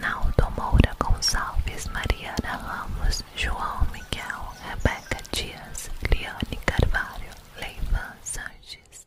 Naldo Moura Gonçalves, Mariana Ramos, João Miguel, Rebeca Dias, Liane Carvalho, Leivan Sanches.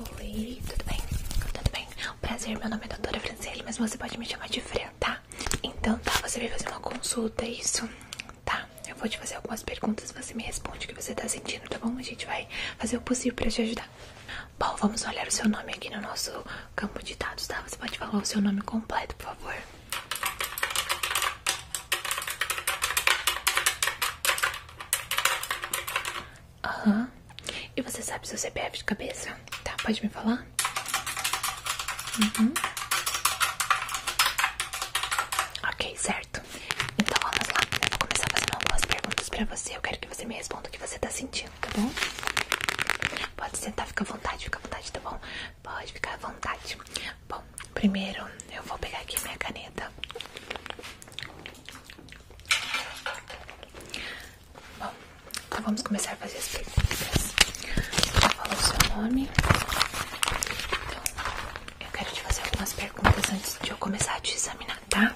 Oi, tudo bem? Tudo bem? Prazer, meu nome é Doutora Franciele, mas você pode me chamar de Fran, tá? Então tá, você veio fazer uma consulta, é isso? Tá, eu vou te fazer algumas perguntas, você me responde o que você tá sentindo, tá bom? A gente vai fazer o possível pra te ajudar. Bom, vamos olhar o seu nome aqui no nosso campo de dados, tá? Você pode falar o seu nome completo, por favor. Aham. E você sabe seu CPF de cabeça? Tá, pode me falar? Uhum. Ok, certo. Então vamos lá. Eu vou começar fazendo algumas perguntas pra você. Eu quero que você me responda o que você tá sentindo tá bom? Pode sentar, fica à vontade, fica à vontade, tá bom? Pode ficar à vontade. Bom, primeiro eu vou pegar aqui minha caneta. Bom, então vamos começar a fazer as perguntas. Vou falar o seu nome. Então, eu quero te fazer algumas perguntas antes de eu começar a te examinar, tá?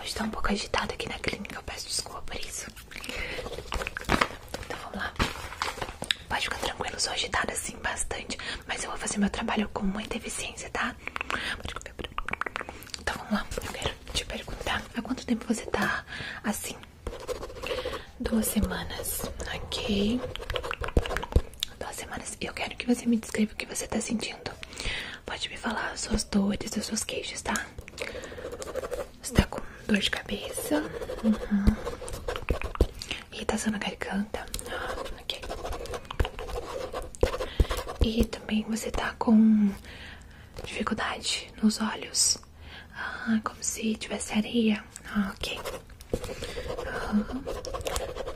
Hoje tá um pouco agitado aqui na clínica, eu peço desculpa por isso. Então vamos lá. Pode ficar tranquilo, sou agitada assim bastante, mas eu vou fazer meu trabalho com muita eficiência, tá? Então vamos lá, eu quero te perguntar há quanto tempo você tá assim? Duas semanas, ok duas semanas. eu quero que você me descreva o que você está sentindo. Pode me falar as suas dores, as suas queixas, tá? Você tá com dor de cabeça? Uhum. Irritação na garganta? Ah, ok. E também você está com dificuldade nos olhos? Ah, como se tivesse areia? Ah, ok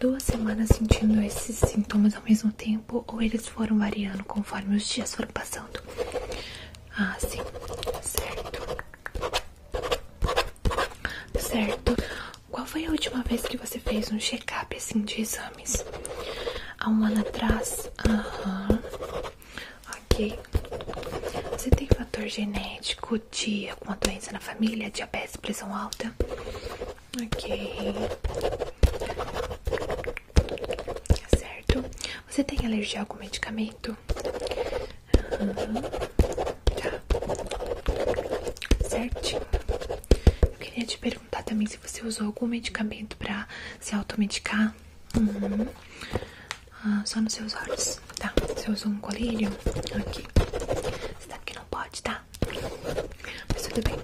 duas semanas sentindo esses sintomas ao mesmo tempo ou eles foram variando conforme os dias foram passando? Ah, sim, certo. Certo. Qual foi a última vez que você fez um check-up assim de exames? Há um ano atrás? Aham. Ok. Você tem fator genético discutir alguma doença na família, diabetes, pressão alta. Ok. Tá certo. Você tem alergia a algum medicamento? Uhum. Tá. Certinho. Eu queria te perguntar também se você usou algum medicamento pra se automedicar. Uhum. Ah, só nos seus olhos, tá? Você usou um colírio aqui. Você sabe que não pode, tá? Mas tudo bem.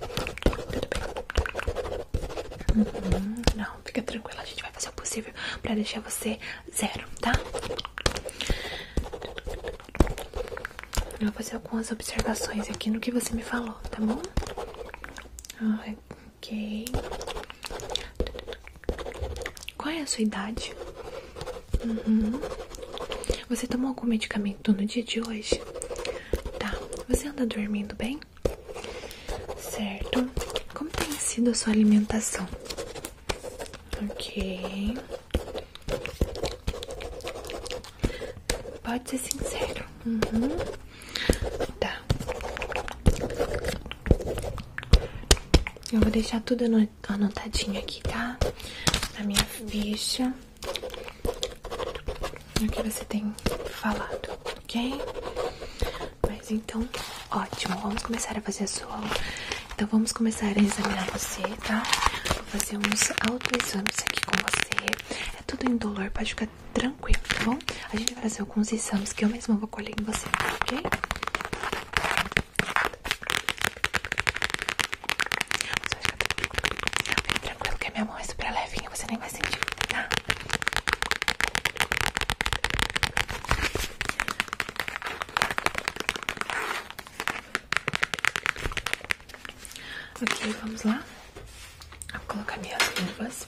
Tudo bem. Uhum. Não, fica tranquila. A gente vai fazer o possível pra deixar você zero, tá? Eu vou fazer algumas observações aqui no que você me falou, tá bom? Ok. Qual é a sua idade? Uhum. Você tomou algum medicamento no dia de hoje? Tá. Você anda dormindo bem? Certo. Como tem sido a sua alimentação? Ok. Pode ser sincero. Uhum. Tá. Eu vou deixar tudo anotadinho aqui, tá? Na minha ficha. O que você tem falado, ok? Mas então, ótimo. Vamos começar a fazer a sua aula. Então, vamos começar a examinar você, tá? Vou fazer uns autoexames aqui com você. É tudo indolor, pode ficar tranquilo, tá bom? A gente vai fazer fazer alguns exames que eu mesma vou colher em você, ok? tranquilo que a minha mão é super levinha, você nem vai sentir, tá? Ok, vamos lá. Vou colocar minhas luvas.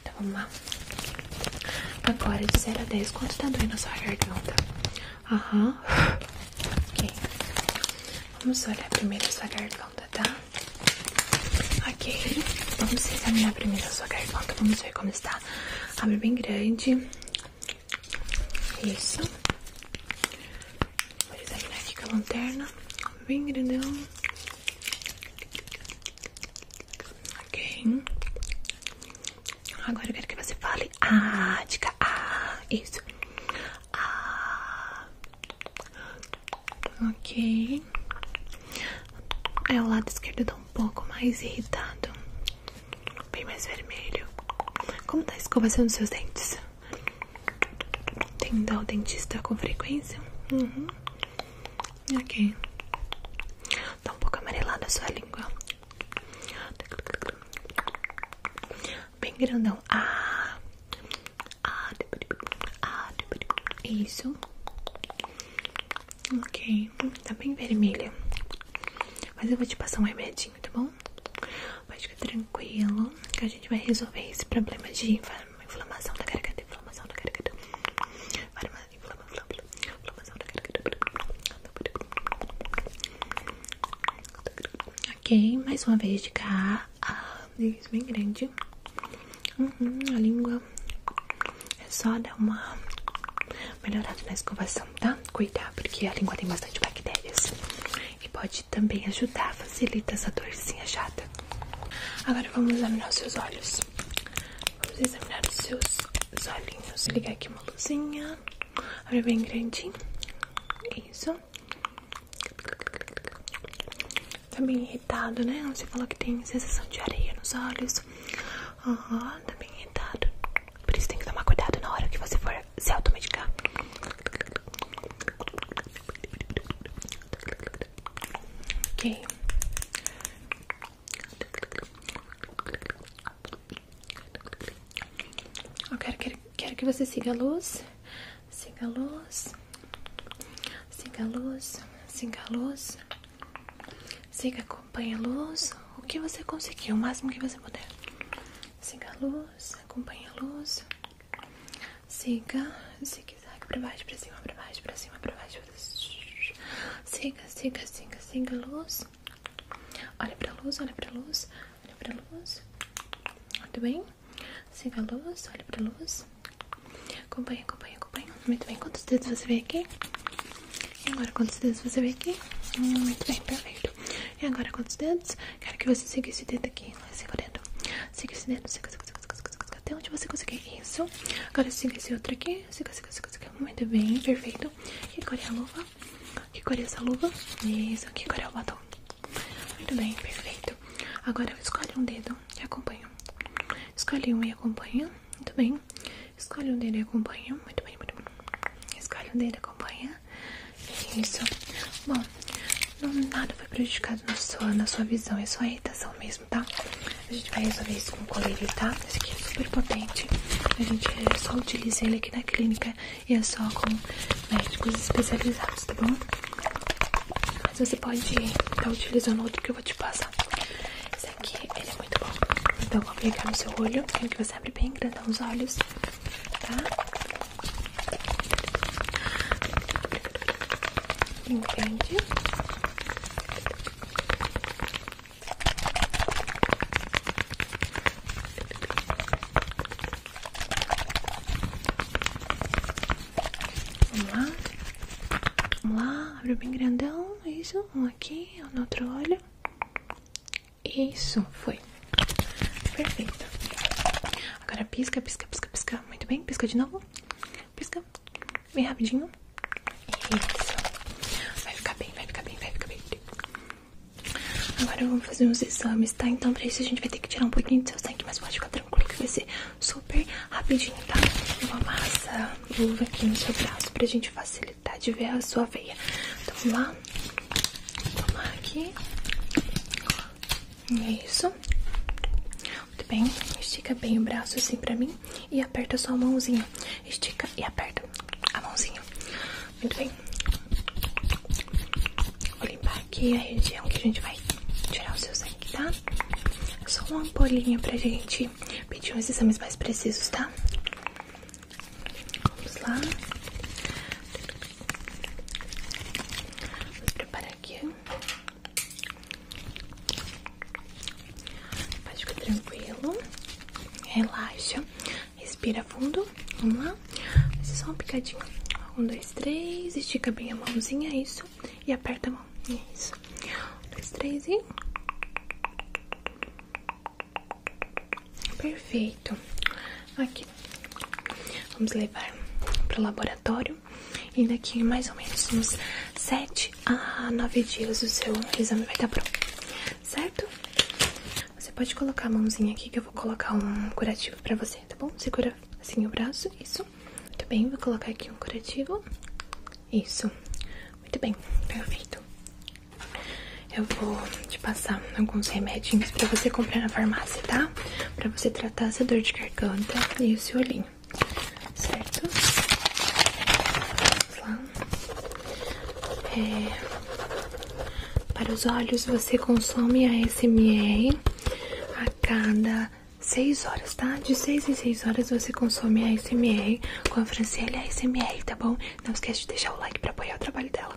Então vamos lá. Agora de 0 a 10, quanto está doendo a sua garganta? Aham. Ok. Vamos olhar primeiro a sua garganta, tá? Ok. Vamos examinar primeiro a sua garganta. Vamos ver como está. Abre bem grande. Isso. Vou examinar aqui com a lanterna. Bem grandão. Ok. Agora eu quero que você fale. Ah, dica. Ah, isso. Ah. Ok. É, o lado esquerdo tá um pouco mais irritado bem mais vermelho. Como tá a escovação dos seus dentes? Tem indo ao dentista com frequência? Uhum. Ok. Tá um pouco amarelada a sua língua. Bem grandão. Ah! Ah! Ah! Isso. Ok, tá bem vermelha. Mas eu vou te passar um remedinho, tá bom? Pode ficar tranquilo que a gente vai resolver esse problema de inflamação da garganta, inflamação da garganta. Inflamação da garganta. Ok, mais uma vez de cá. Ah, bem grande. Uhum, a língua. É só dar uma melhorada na escovação, tá? Cuidar, porque a língua tem bastante bactérias. E pode também ajudar, facilita essa dorzinha chata. Agora vamos examinar os seus olhos. Vamos examinar os seus olhinhos. ligar aqui uma luzinha. Olha bem grandinho. Isso. Tá bem irritado, né? Você falou que tem sensação de areia nos olhos. Aham, tá bem irritado. Por isso tem que tomar cuidado na hora que você for se automedicar. Ok. Eu quero, quero que você siga a luz. Siga a luz. Siga a luz. Siga a luz. Siga, acompanha a luz, o que você conseguiu o máximo que você puder. Siga a luz, acompanha a luz. Siga, zigue-zague pra baixo, pra cima, pra baixo, pra cima, pra baixo. Siga, siga, siga, siga a luz. Olha pra luz, olha pra luz, olha pra luz. Tudo bem? Siga a luz, olha pra luz. Acompanha, acompanha, acompanha. Muito bem, quantos dedos você vê aqui? E agora quantos dedos você vê aqui? Muito bem, perfeito. E agora quantos dedos? Quero que você siga esse dedo aqui. Siga o dedo. Siga esse dedo, siga, siga, siga, siga, siga, Até onde você conseguir isso. Agora siga esse outro aqui. Siga, siga, siga, Muito bem, perfeito. Que cor é a luva? Que cor é essa luva? Isso, que cor é o batom? Muito bem, perfeito. Agora escolhe um dedo e acompanha. Escolhe um e acompanha. Muito bem. Escolhe um dele e acompanha. Muito bem, muito bem. Escolhe um dele e acompanha. Isso. Bom, não, nada foi prejudicado na sua, na sua visão. É só irritação mesmo, tá? A gente vai resolver isso com o colírio, tá? Esse aqui é super potente. A gente é só utiliza ele aqui na clínica e é só com médicos especializados, tá bom? Mas você pode estar tá utilizando outro que eu vou te passar. Esse aqui, ele é muito bom. Então, eu vou aplicar no seu olho, quero é que você sempre bem grandão os olhos, tá? Entende? Vamos lá. Vamos lá. Abre bem grandão. Isso. Um aqui. outro olho. Isso. Foi. Perfeito. Agora pisca, pisca, pisca, pisca. Muito bem. Pisca de novo. Pisca. Bem rapidinho. Isso. Vai ficar bem, vai ficar bem, vai ficar bem. Agora vamos fazer uns exames, tá? Então, pra isso a gente vai ter que tirar um pouquinho do seu sangue, mas pode ficar tranquilo que vai super rapidinho, tá? Uma massa luva aqui no seu braço pra gente facilitar de ver a sua veia. Então vamos lá. Vamos lá aqui. É Isso. Muito bem. Estica bem o braço assim pra mim e aperta sua mãozinha. Estica e aperta a mãozinha. Muito bem. Vou limpar aqui a região que a gente vai tirar o seu sangue, tá? Só uma ampolinha pra gente pedir uns exames mais precisos, tá? Vamos lá. Vamos preparar aqui. Pode ficar tranquilo. Relaxa. Respira fundo. Vamos lá. Vai ser só um picadinho. Um, dois, três. Estica bem a mãozinha. é Isso. E aperta a mão. Isso. Um, dois, três e. Perfeito. Aqui. Vamos levar pro laboratório. E daqui mais ou menos uns sete a nove dias o seu exame vai estar tá pronto. Certo? Você pode colocar a mãozinha aqui que eu vou colocar um curativo pra você, tá bom? Segura assim o braço, isso. Muito bem, vou colocar aqui um curativo. Isso. Muito bem, perfeito. Eu vou te passar alguns remédios pra você comprar na farmácia, tá? Pra você tratar essa dor de garganta e o seu olhinho, certo? Vamos lá. É... Para os olhos, você consome a SMR a cada 6 horas, tá? De 6 em 6 horas você consome a ASMR com a Franciele ASMR, tá bom? Não esquece de deixar o like pra apoiar o trabalho dela,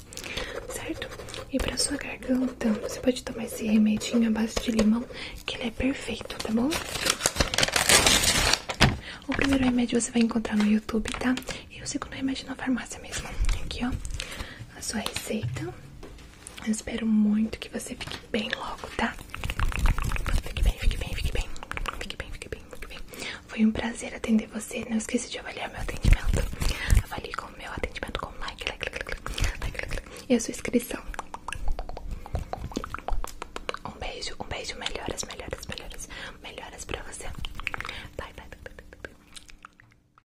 certo? E pra sua garganta, você pode tomar esse remedinho à base de limão, que ele é perfeito, tá bom? O primeiro remédio você vai encontrar no YouTube, tá? E o segundo remédio na farmácia mesmo. Aqui, ó, a sua receita. Eu espero muito que você fique bem logo, tá? Fique bem, fique bem, fique bem. Fique bem, fique bem, fique bem. Foi um prazer atender você. Não esqueça de avaliar meu atendimento. Avalie com o meu atendimento com like, like, like, like, like, like, like. like a sua inscrição. Um beijo, um beijo. Melhoras, melhoras, melhoras. Melhoras pra você. Bye, bye, bye. bye, bye.